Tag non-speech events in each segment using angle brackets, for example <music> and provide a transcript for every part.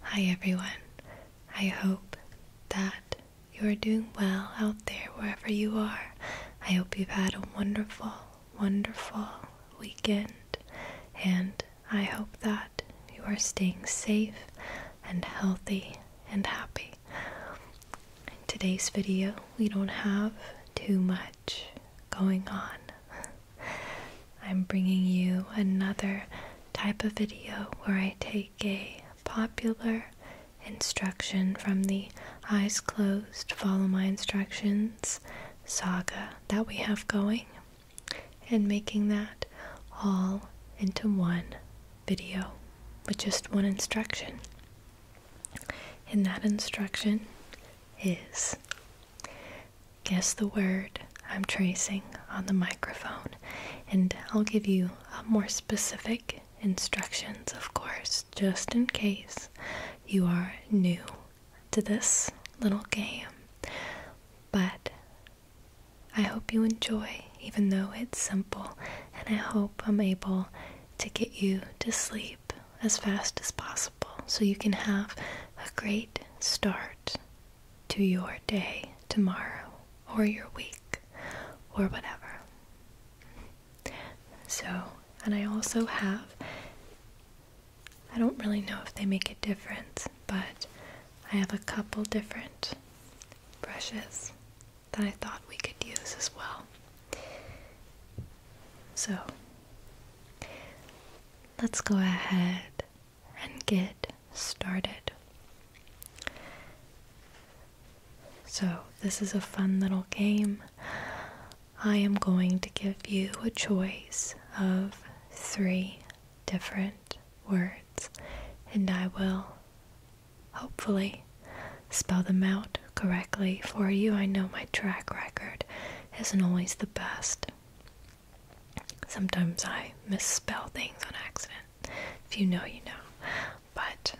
Hi everyone. I hope that you are doing well out there wherever you are. I hope you've had a wonderful, wonderful weekend, and I hope that you are staying safe and healthy and happy. In today's video, we don't have too much going on. I'm bringing you another type of video where I take a popular instruction from the Eyes Closed Follow My Instructions saga that we have going and making that all into one video with just one instruction. And that instruction is guess the word I'm tracing on the microphone, and I'll give you uh, more specific instructions, of course, just in case you are new to this little game. But I hope you enjoy, even though it's simple, and I hope I'm able to get you to sleep as fast as possible so you can have a great start to your day tomorrow or your week or whatever. So, and I also have, I don't really know if they make a difference, but I have a couple different brushes that I thought we could use as well. So, let's go ahead and get started. So, this is a fun little game. I am going to give you a choice of three different words, and I will hopefully spell them out correctly for you. I know my track record isn't always the best. Sometimes I misspell things on accident. If you know, you know. But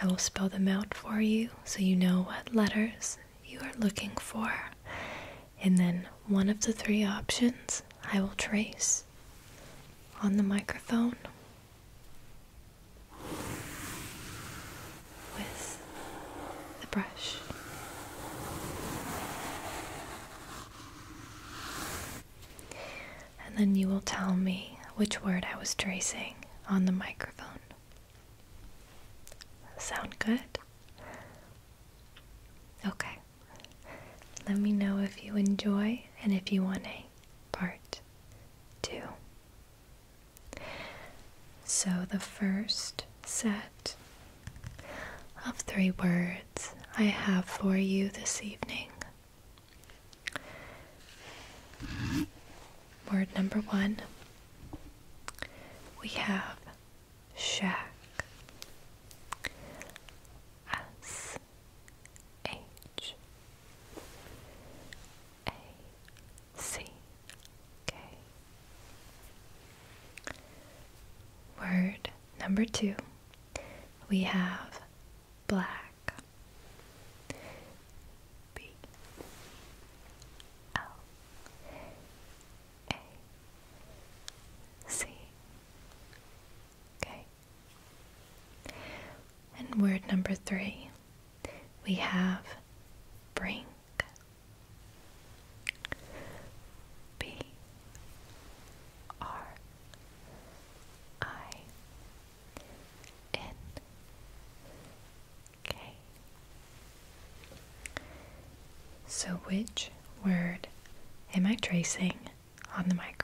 I will spell them out for you so you know what letters you are looking for. And then one of the three options I will trace on the microphone with the brush. And then you will tell me which word I was tracing on the microphone. Sound good? Okay. Let me know if you enjoy and if you want a part two. So the first set of three words I have for you this evening. Word number one we have shack. S H A C K Word number two, we have black. B L A C. Okay. And word number three, we have bring. B R I N K. So, which word am I tracing on the microphone?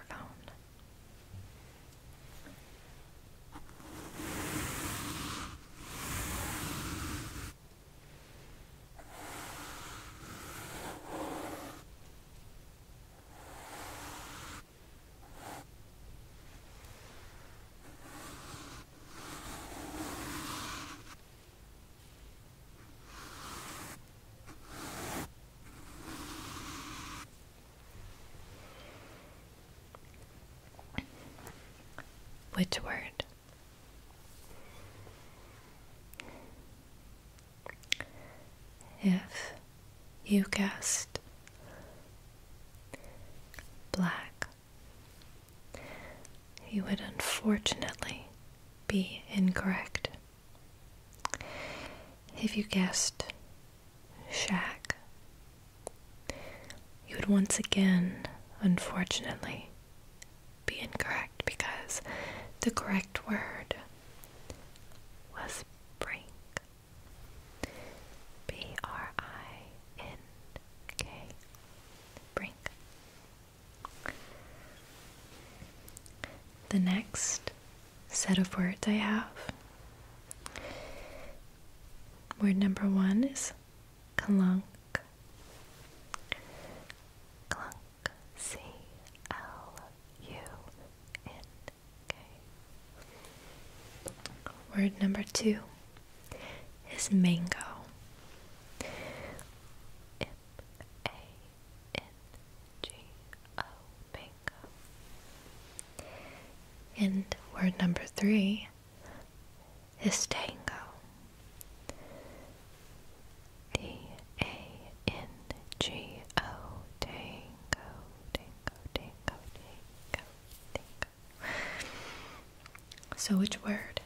Which word if you guessed black, you would unfortunately be incorrect. If you guessed shack, you would once again, unfortunately, be incorrect because the correct word was brink. B R I N K. Brink. The next set of words I have. Word number one is clunk, clunk, C L U N K. Word number two is mango. M A N G O mango. And word number three his tango. D A N G O tango, tango, tango, tango, tango. So, which word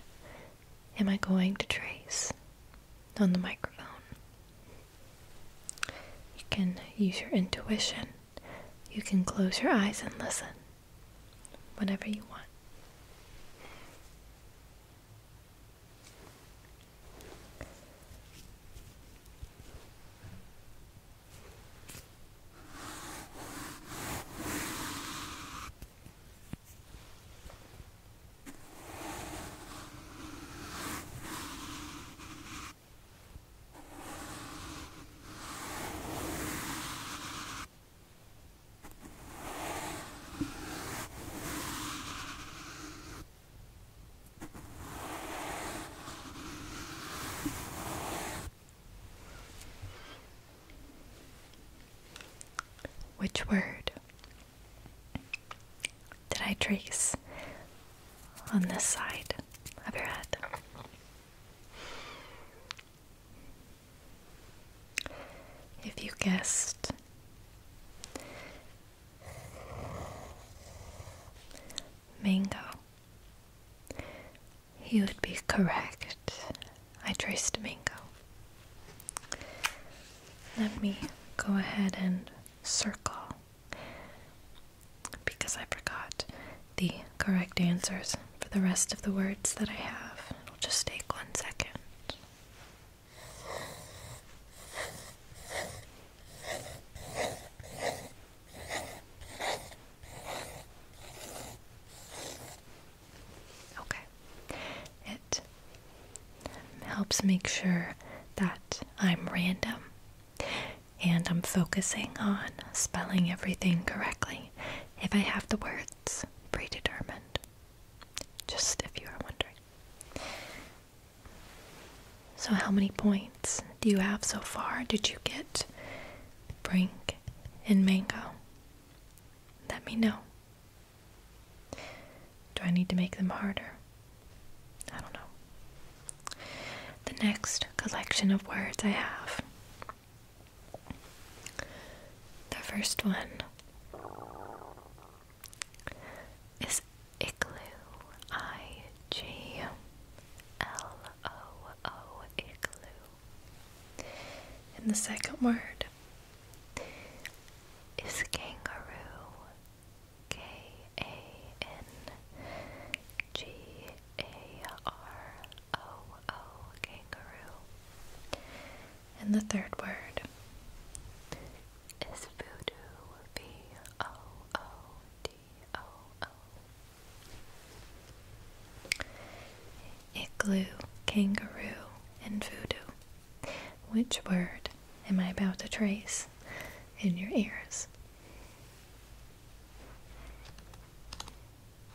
am I going to trace on the microphone? You can use your intuition. You can close your eyes and listen. Whenever you want. Which word did I trace on this side of your head? If you guessed mango, you would be correct. I traced mango. Let me go ahead and circle because I forgot the correct answers for the rest of the words that I have. It'll just take one second. Okay. It helps make sure that I'm random and I'm focusing on spelling everything correctly. If I have the words it's predetermined. Just if you are wondering. So, how many points do you have so far? Did you get Brink and Mango? Let me know. Do I need to make them harder? I don't know. The next collection of words I have the first one is igloo. I G L O O igloo. And the second word is kangaroo. K A N G A R o oh, oh, kangaroo. And the third word is voodoo, V-O-O-D-O-O. Igloo, kangaroo, and voodoo. Which word am I about to trace in your ears?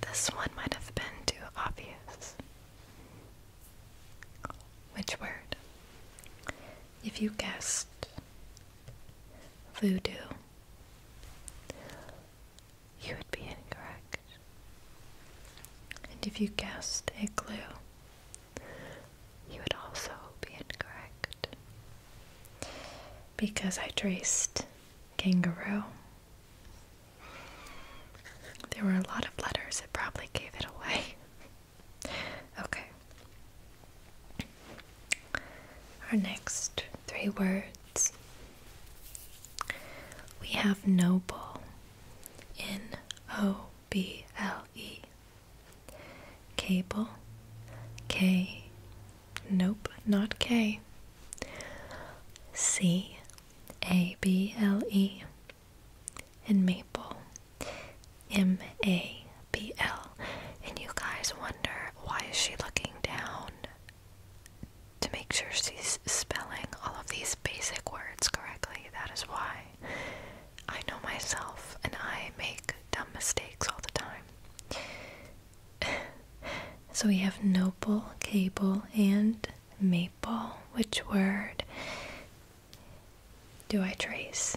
This one might have been too obvious. Which word? If you guessed voodoo, you would be incorrect. And if you guessed a clue, you would also be incorrect. Because I traced kangaroo. There were a lot of letters, it probably gave it away. <laughs> okay. Our next three words we have noble, N O B L E. Cable, K, nope, not K. C A B L E. And maple, M A B L. And you guys wonder why is she looking down to make sure she's spelling all of these basic words correctly. That is why I know myself and I make dumb mistakes all the time. <laughs> so we have noble, cable, and maple. Which word do I trace?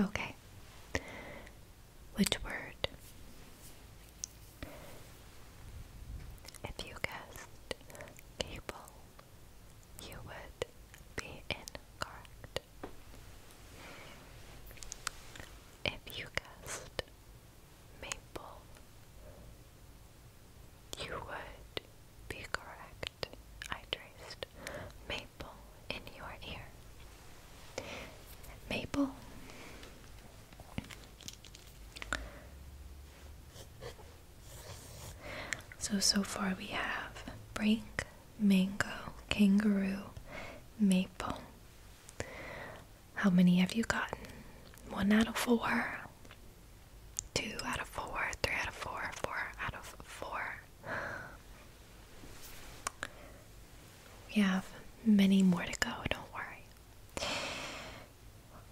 Okay. Which word? If you guessed cable, you would be incorrect. If you guessed maple, you would be correct. I traced maple in your ear. Maple. So, so far we have break, mango, kangaroo, maple. How many have you gotten? One out of four two out of four, three out of four, four out of four. We have many more to go, don't worry.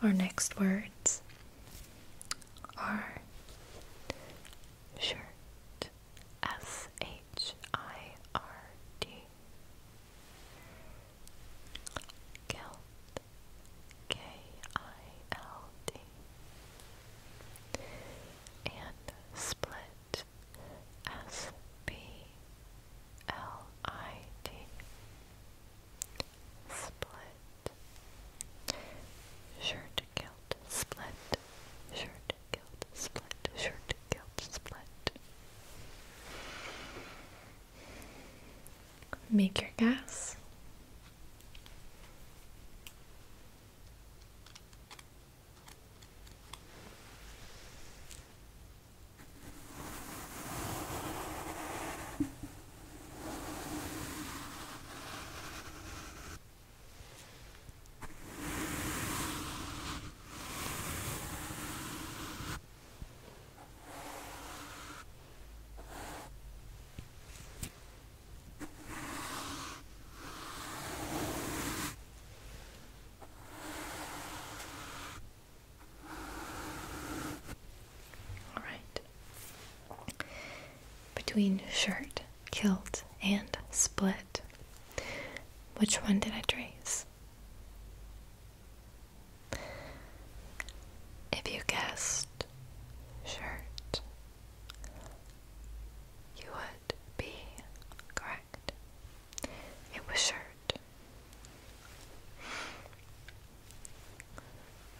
Our next words are shirt, S H I R D, K I L D and split S P L I T split shirt kilt split shirt kilt split shirt kilt split Make your guess. All right. Between shirt, kilt, and split, which one did I trace? If you guessed shirt, you would be correct. It was shirt.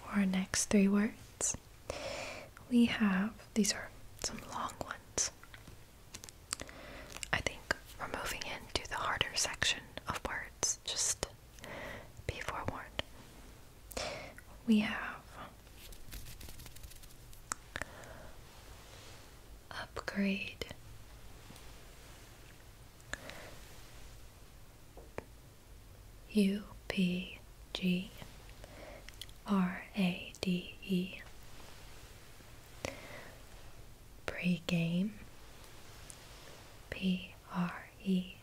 For our next three words, we have these are some long ones. I think we're moving into the harder section of words, just be forewarned. We have upgrade. U P G R A D E Pre-game P R E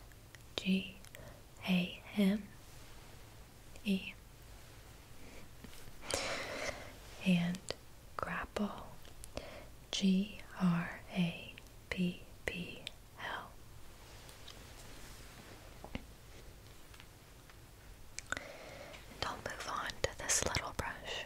G A M E. And grapple. G R A P P L. And I'll move on to this little brush.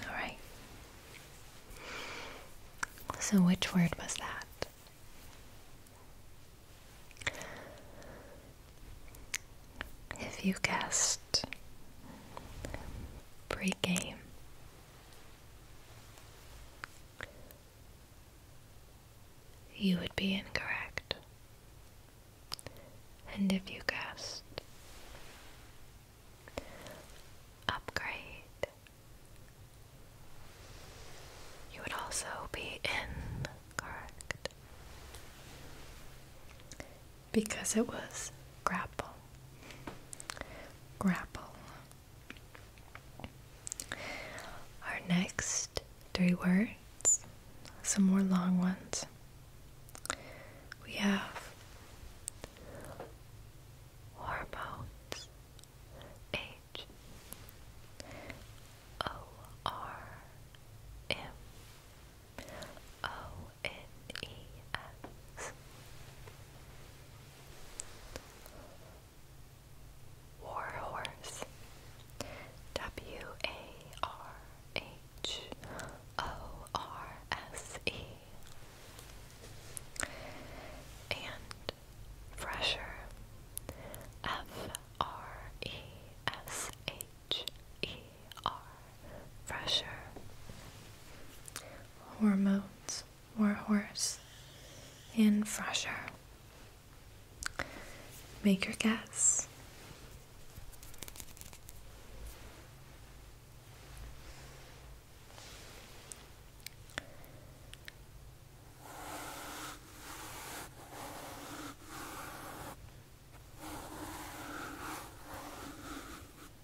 All right. So, which word was that? If you guessed pregame, you would be incorrect. And if you guessed, upgrade, you would also be incorrect. Because it was grapple grapple. Our next three words, some more long ones. We have hormones. H O R M O N E S War W A R H O R S E and Fresher F R E S H E R Fresher hormones warhorse in fresher make your guess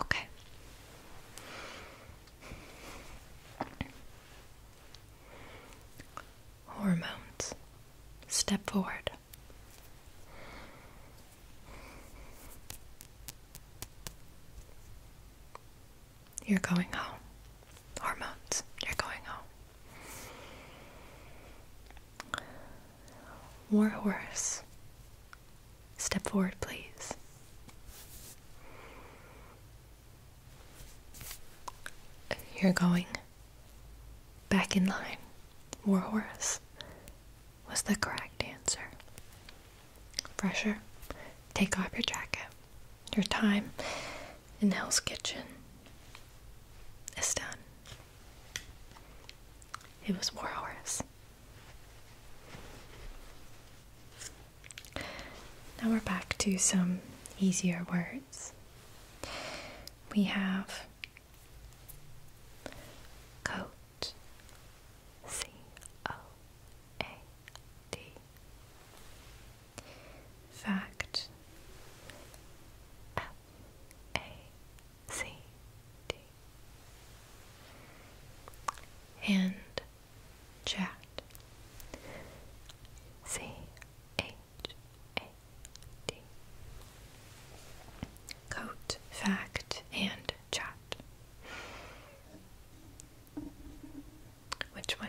Okay. Hormones. Step forward. You're going home. Hormones, you're going home. Warhorse, step forward, please. You're going back in line. Warhorse was the correct answer. Fresher, take off your jacket. Your time in Hell's Kitchen is done. It was war horse. Now we're back to some easier words. We have coat, C O A D, fact, F a C D and chat C H A D coat fact and chat which one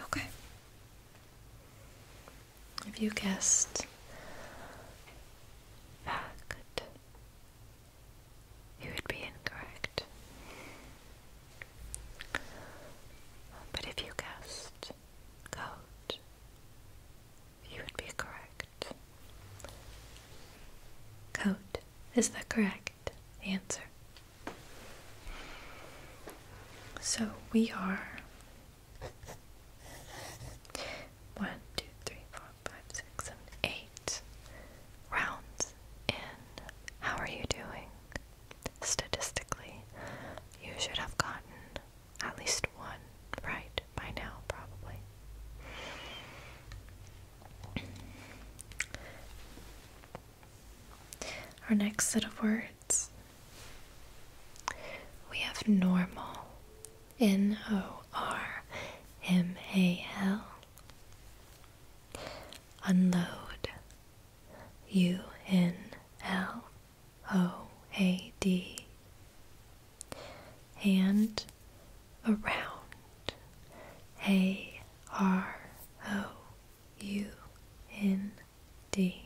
Okay. If you guessed fact, you would be incorrect. But if you guessed coat, you would be correct. Coat is the correct answer. So we are one, two, three, four, five, six, seven, eight rounds in. How are you doing? Statistically, you should have gotten at least one right by now, probably. Our next set of words we have normal, N O R M A L, unload, U N L O A D, and around. A R O U N D.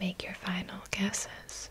Make your final guesses.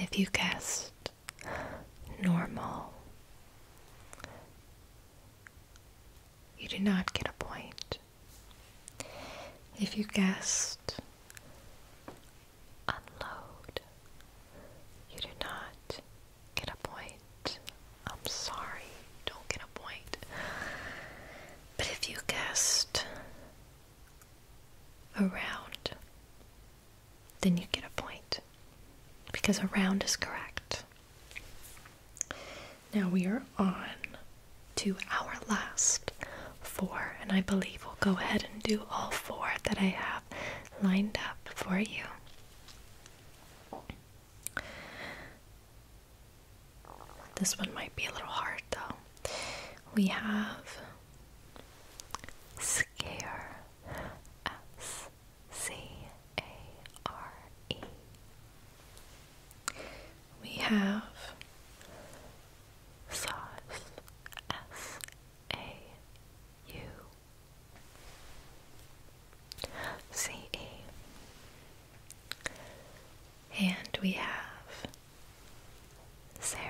If you guessed normal, you do not get a point. If you guessed unload, you do not get a point. I'm sorry, don't get a point. But if you guessed around, then you get a point because around is correct. Now we are on to our last four, and I believe we'll go ahead and do all four that I have lined up for you. This one might be a little hard though. We have scare us C A R E. We have sauce S A U C E. And we have serum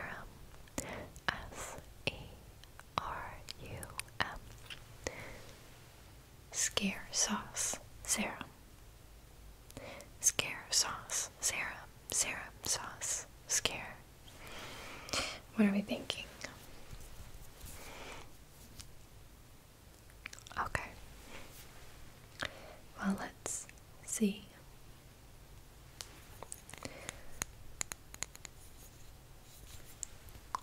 S E R U M Scare sauce serum. Scare sauce serum. Serum sauce scare. What are we thinking? Okay. Well, let's see.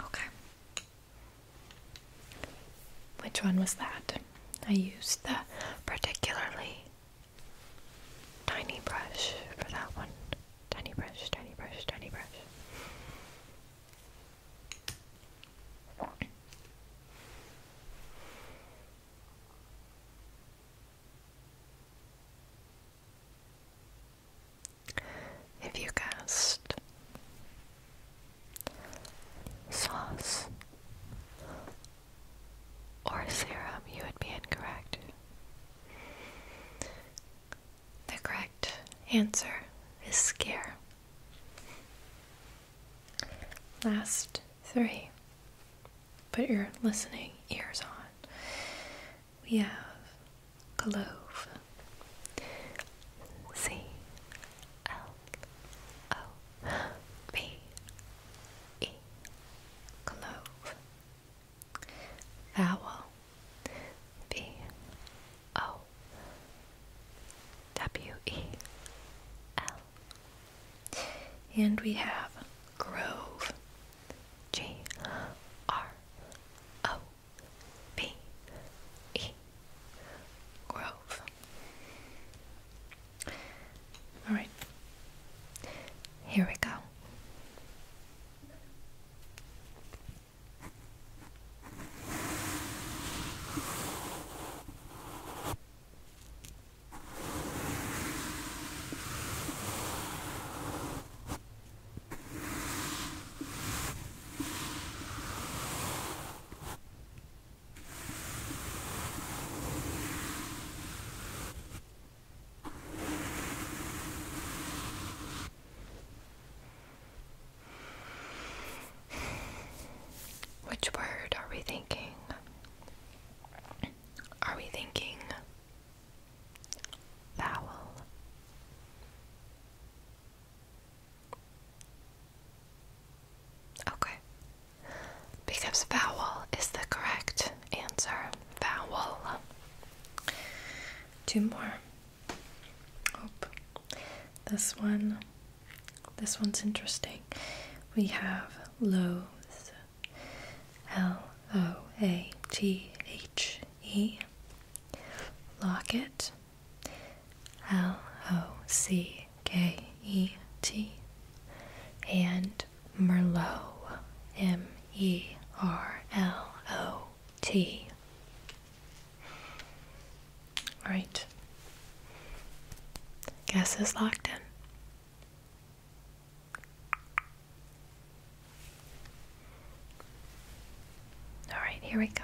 Okay. Which one was that? I used the particularly tiny brush for that one. Tiny brush, tiny brush, tiny brush. If you guessed sauce or serum, you would be incorrect. The correct answer is scare. Last three. Put your listening ears on we have Glove. C L O V E. Glove. Vowel. And we have Grove. G R O B E Grove. Alright, here we go. Which word are we thinking? Are we thinking Vowel. Okay. Because vowel is the correct answer. Vowel. Two more. This one. This one's interesting. We have loaves. L O A T H E. Locket. L O C K E T. And Merlot. M E R L O T. All right. Guess is locked in. All right, here we go.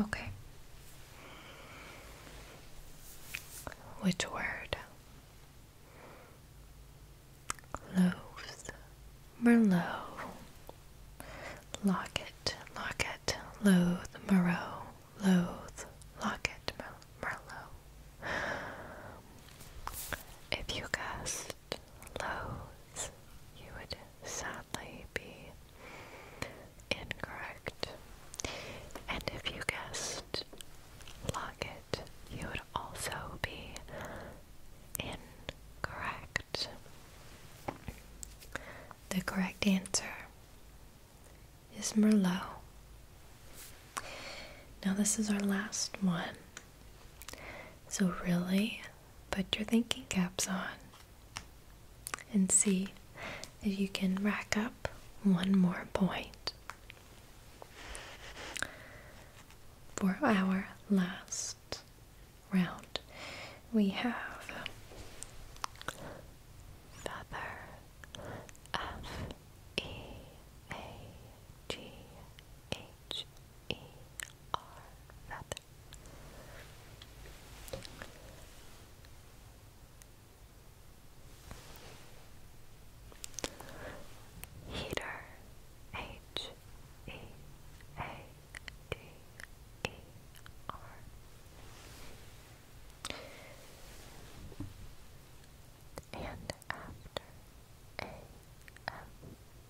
Okay. Which word? Loaves. Merlot. Locket, locket, loathe, Moreau, loathe, locket, Merlot. If you guessed loath, you would sadly be incorrect. And if you guessed locket, you would also be incorrect. The correct answer is Merlot. Now, this is our last one. So, really put your thinking caps on and see if you can rack up one more point. For our last round. We have feather, F E A G H E R, feather. Heater H E A after A M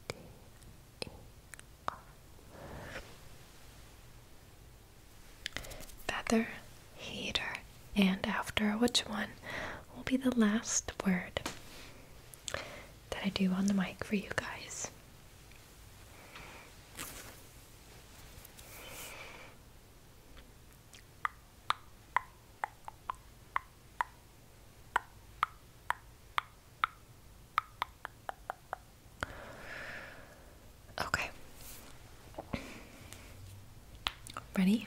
D E R. Feather, heater, and after which one will be the last word that I do on the mic for you guys? Okay. Ready?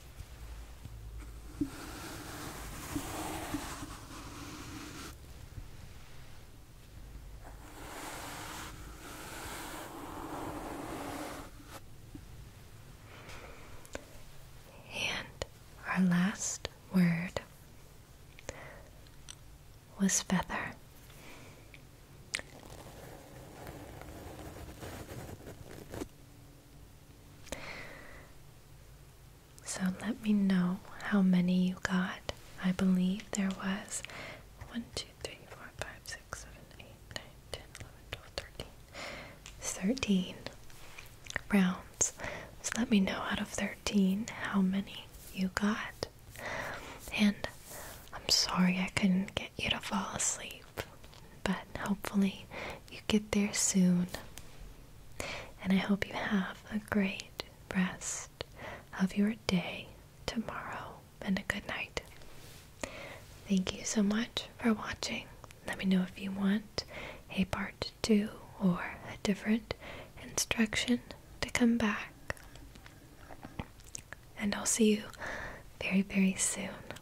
And our last word was feather. So let me know how many you got. I believe there was 1, 13. rounds. let me know out of 13 how many you got. And I'm sorry I couldn't get you to fall asleep. But hopefully, you get there soon. And I hope you have a great rest of your day tomorrow and a good night. Thank you so much for watching. Let me know if you want a part two or a different instruction to come back. And I'll see you very, very soon.